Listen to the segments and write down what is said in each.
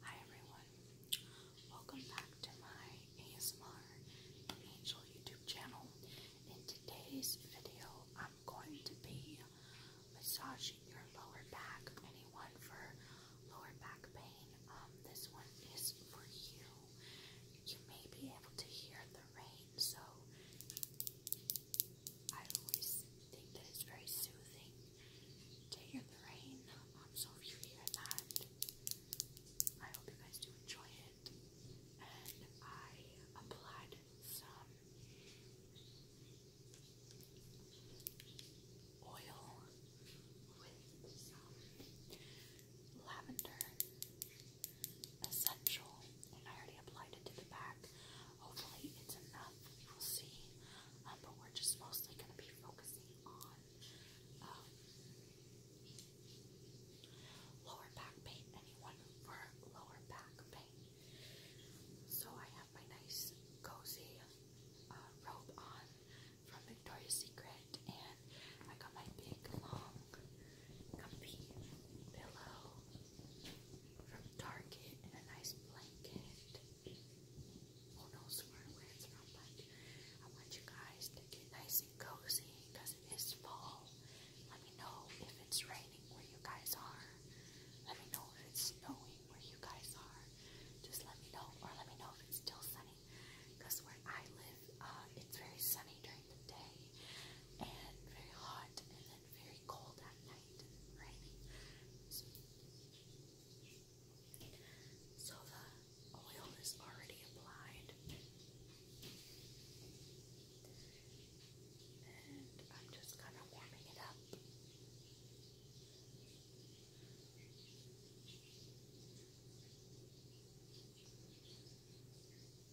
Hi everyone, welcome back to my ASMR Angel YouTube channel. In today's video, I'm going to be massaging your lower back. Anyone for lower back pain? Um, this one is for you. You may be able to hear the rain, so I always think that it's very soothing to hear the rain on Sophie at night. I hope you guys do enjoy it. And I applied some oil with some lavender essential, and I already applied it to the back Hopefully, it's enough. We will see. Um, but we're just mostly going to be focusing on um, lower back pain. Anyone for lower back pain? So I have my nice cozy uh, robe on from Victoria's Secret, and I got my big long comfy pillow from Target and a nice blanket. Who knows where, where it's from, but I want you guys to get nice and cozy because it is fall. Let me know if it's raining where you guys are. Let me know if it's snowing where you guys are. Just let me know, or let me know if it's still sunny. Because where I live, uh, it's very sunny during the day and very hot, and very cold at night and so the oil is already applied. And I'm just kind of warming it up. If we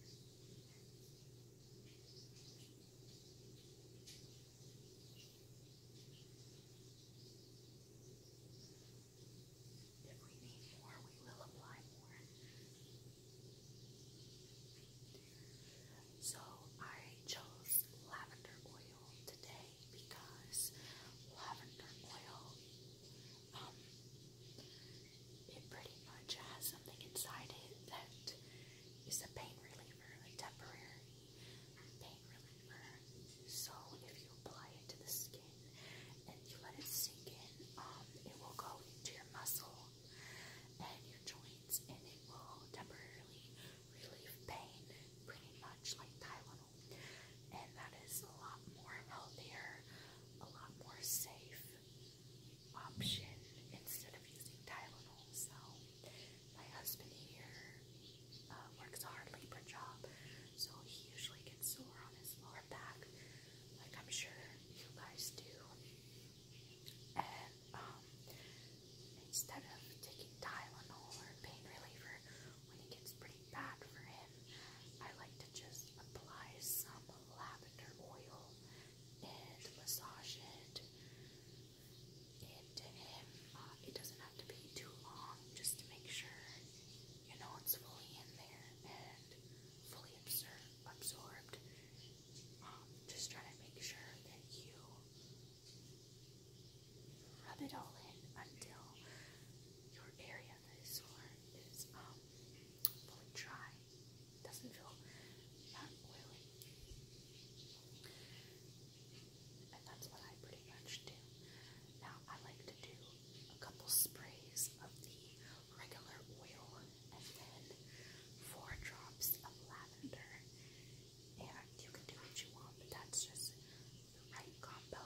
need more, we will apply more. So I chose lavender oil today because lavender oil um, it pretty much has something inside it that is a pain reliever, a temporary pain reliever. So if you apply it to the skin and you let it sink in, um, it will go into your muscle and your joints, and it will temporarily relieve pain, pretty much like Tylenol. And that is a lot more healthier, a lot more safe option instead of using Tylenol. So my husband here uh, works a hard labor job, so he usually gets sore on his lower back, like I'm sure you guys do. And um, instead of taking Tylenol or pain reliever when it gets pretty bad for him, I like to just apply some lavender oil and massage it into him. Uh, it doesn't have to be too long, just to make sure you know it's fully in there and fully absor absorbed. Um, just trying to make sure that you rub it all in until your area that is sore is um, fully dry doesn't feel not oily. And that's what I pretty much do. Now I like to do a couple sprays of the regular oil and then four drops of lavender. And you can do what you want, but that's just the right combo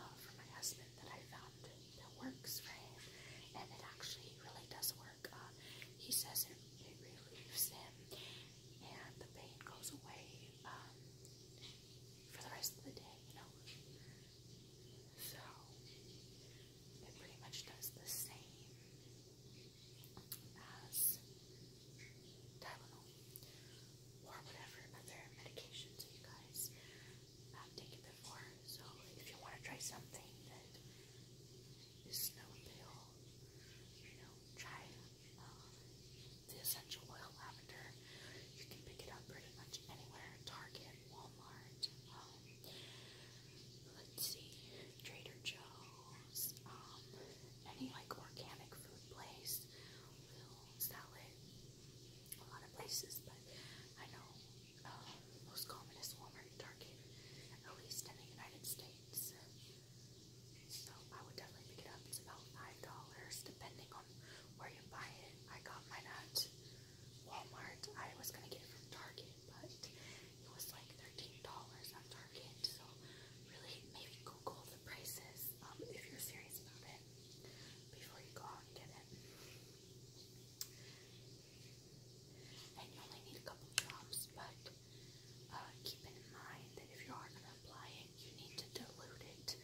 uh, for my husband that I found that works for him, and it actually really does work. Uh, he says it, it relieves him, and the pain goes away um, for the rest of the day, you know. So it pretty much does the same as Tylenol or whatever other medications you guys I've taken before. So if you want to try something that is snow pale, you know, try uh, the essential oil lavender. You can pick it up pretty much anywhere. Target, Walmart, um, let's see, Trader Joe's, um, any like organic food place will sell it a lot of places, but I know uh, most common is Walmart and Target, at least in the United States. So I would definitely pick it up. It's about five dollars, depending on where you buy it. I got mine at Walmart. I was gonna get it from Target, but it was like thirteen dollars at Target. So really, maybe Google the prices um, if you're serious about it before you go out and get it. And you only need a couple drops, but uh, keep in mind that if you are going to apply it, you need to dilute it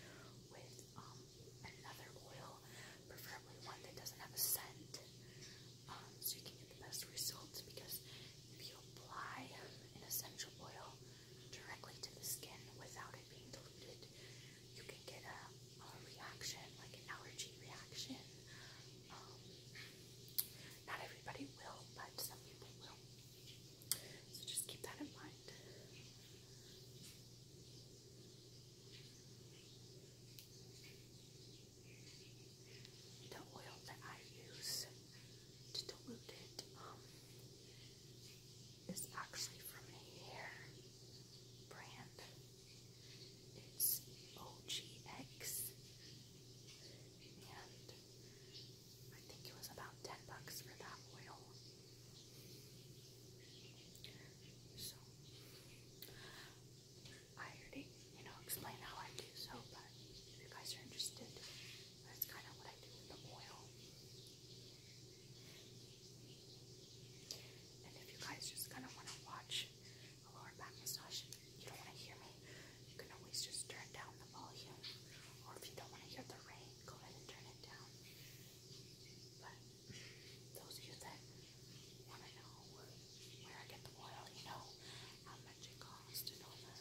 with um, another oil, preferably one that doesn't have a scent, um, so you can get the best results. Because if you apply an essential oil directly to the skin without it being diluted, you can get a, reaction, like an allergy reaction. Um, not everybody will, but some people will. So just keep that in mind. The oil that I use to dilute it um, is actually from a hair brand. It's OGX, and I think it was about 10 bucks for that oil. So, I already, you know, explain how I do so, but if you guys are interested, that's kind of what I do with the oil. And if you guys just kind of want to watch a lower back massage, you don't want to hear me, you can always just turn down the volume. Or if you don't want to hear the rain, go ahead and turn it down. But those of you that want to know where I get the oil, you know how much it costs and all that.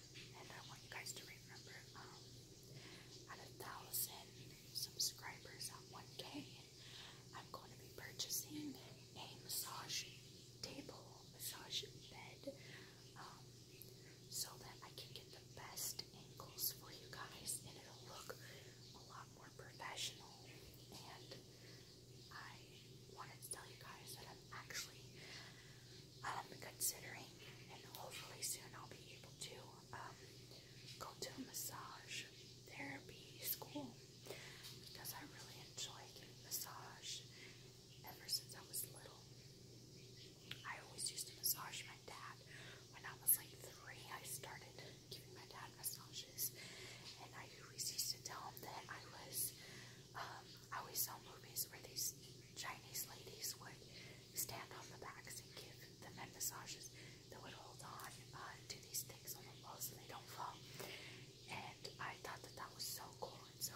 and I want you guys to remember at um, a thousand subscribers on one day, am going to be purchasing a massage table, massage bed, um, so that I can get the best angles for you guys and it'll look a lot more professional. And I wanted to tell you guys that I'm actually um, considering, and hopefully soon I'll be able to um, go to a massage therapy school because I really enjoy getting massage ever since I was little. I always used to massage my dad. When I was like three, I started giving my dad massages, and I always used to tell him that I was um, I always saw movies where these Chinese ladies would stand on the backs and give the men massages that would hold on uh, to these things on the wall so they don't fall. And I thought that that was so cool, and so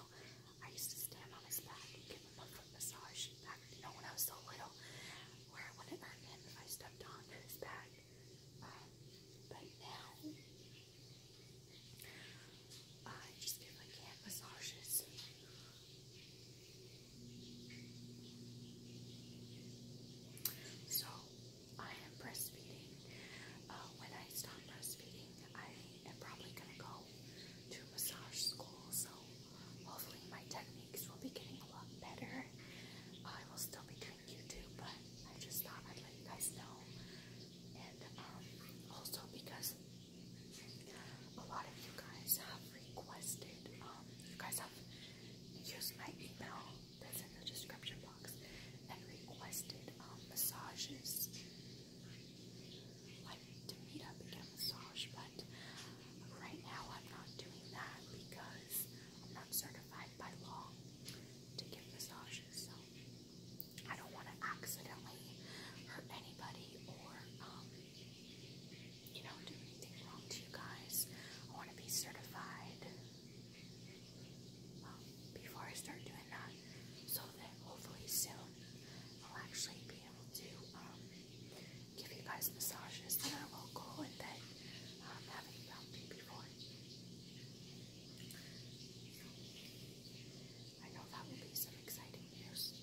I used to stand on his back and give him a foot massage back, you know, when I was so little, where I wouldn't hurt him if I stepped on his back. Um, but now, I just feel like hand massages. So I am breastfeeding. Uh, when I stop breastfeeding, I am probably gonna go to massage school. So hopefully my techniques will be getting a lot better. I will still be doing YouTube, but I just thought I'd let you guys know and um, also because uh, a lot of you guys have requested, um, you guys have used my email that's in the description box and requested um, massages. Like to meet up and get a but right now I'm not doing that because I'm not certified by law to give massages, so I don't want to accidentally hurt anybody or, um, you know, do anything wrong to you guys. I want to be certified um, before I start doing that so that hopefully soon I'll actually be able to um, give you guys massages that are local and that um, haven't found before. I know that will be some exciting news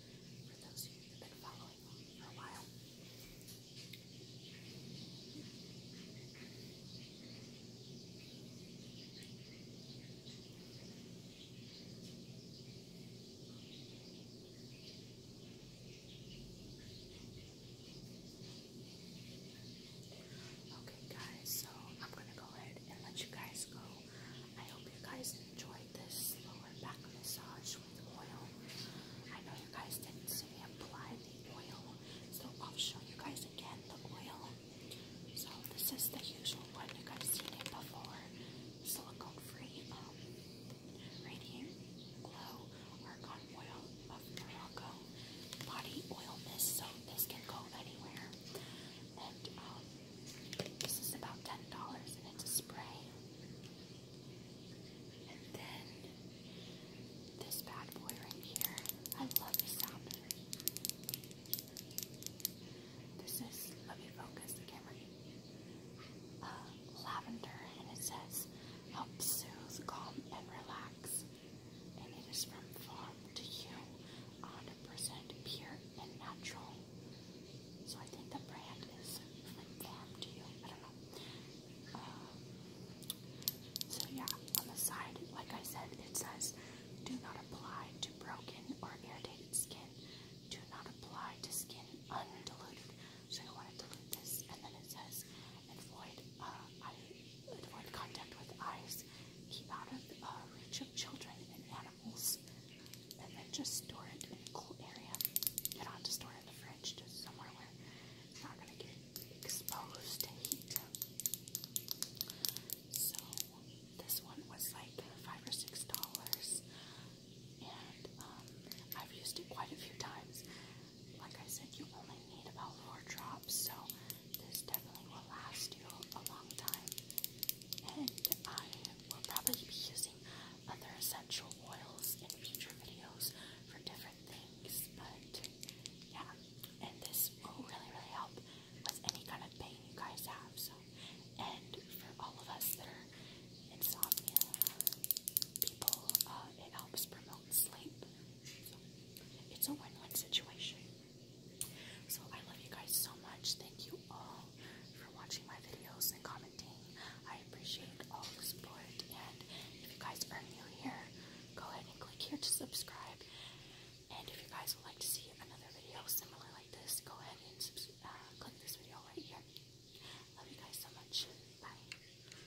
for those of you who've been following me for a while. Okay, guys, so I'm gonna go ahead and let you guys go. I hope you guys enjoyed this lower back massage with oil. I know you guys didn't see me apply the oil, so I'll show you guys again the oil. So this is the usual one you guys seen it before, silicone free um radiant glow argon oil of Morocco body oil mist, so this can go anywhere. And um, this is about $10 and it's a spray. And then this bad boy right here. I love the sound This is, let me focus the camera. Uh, lavender and it says help soothe, calm, and relax and it is from farm to you, 100% pure and natural. So I think the brand is from farm to you. I don't know. Um, so yeah, on the side, like I said, it says, "Do not apply to broken or irritated skin. Do not apply to skin undiluted." So you want to dilute this, and then it says, avoid, uh, avoid contact with eyes, keep out of uh, reach of children and animals, and then just store it in a cool area. You do store in the fridge, just somewhere where it's not going to get exposed to heat. So, this one was like five or six dollars, and um, I've used it quite a few times. Like I said, you only need about four drops, so this definitely will last you a long time. And I will probably be using other essential oils in future videos for different things, but yeah. And this will really, really help with any kind of pain you guys have, so. And for all of us that are insomnia people, uh, it helps promote sleep. it's a win-win situation. So I love you guys so much. Thank you all for watching my videos and commenting. I appreciate all the support. And if you guys are new here, go ahead and click here to subscribe. And if you guys would like to see another video similar like this, go ahead and uh, click this video right here. Love you guys so much. Bye.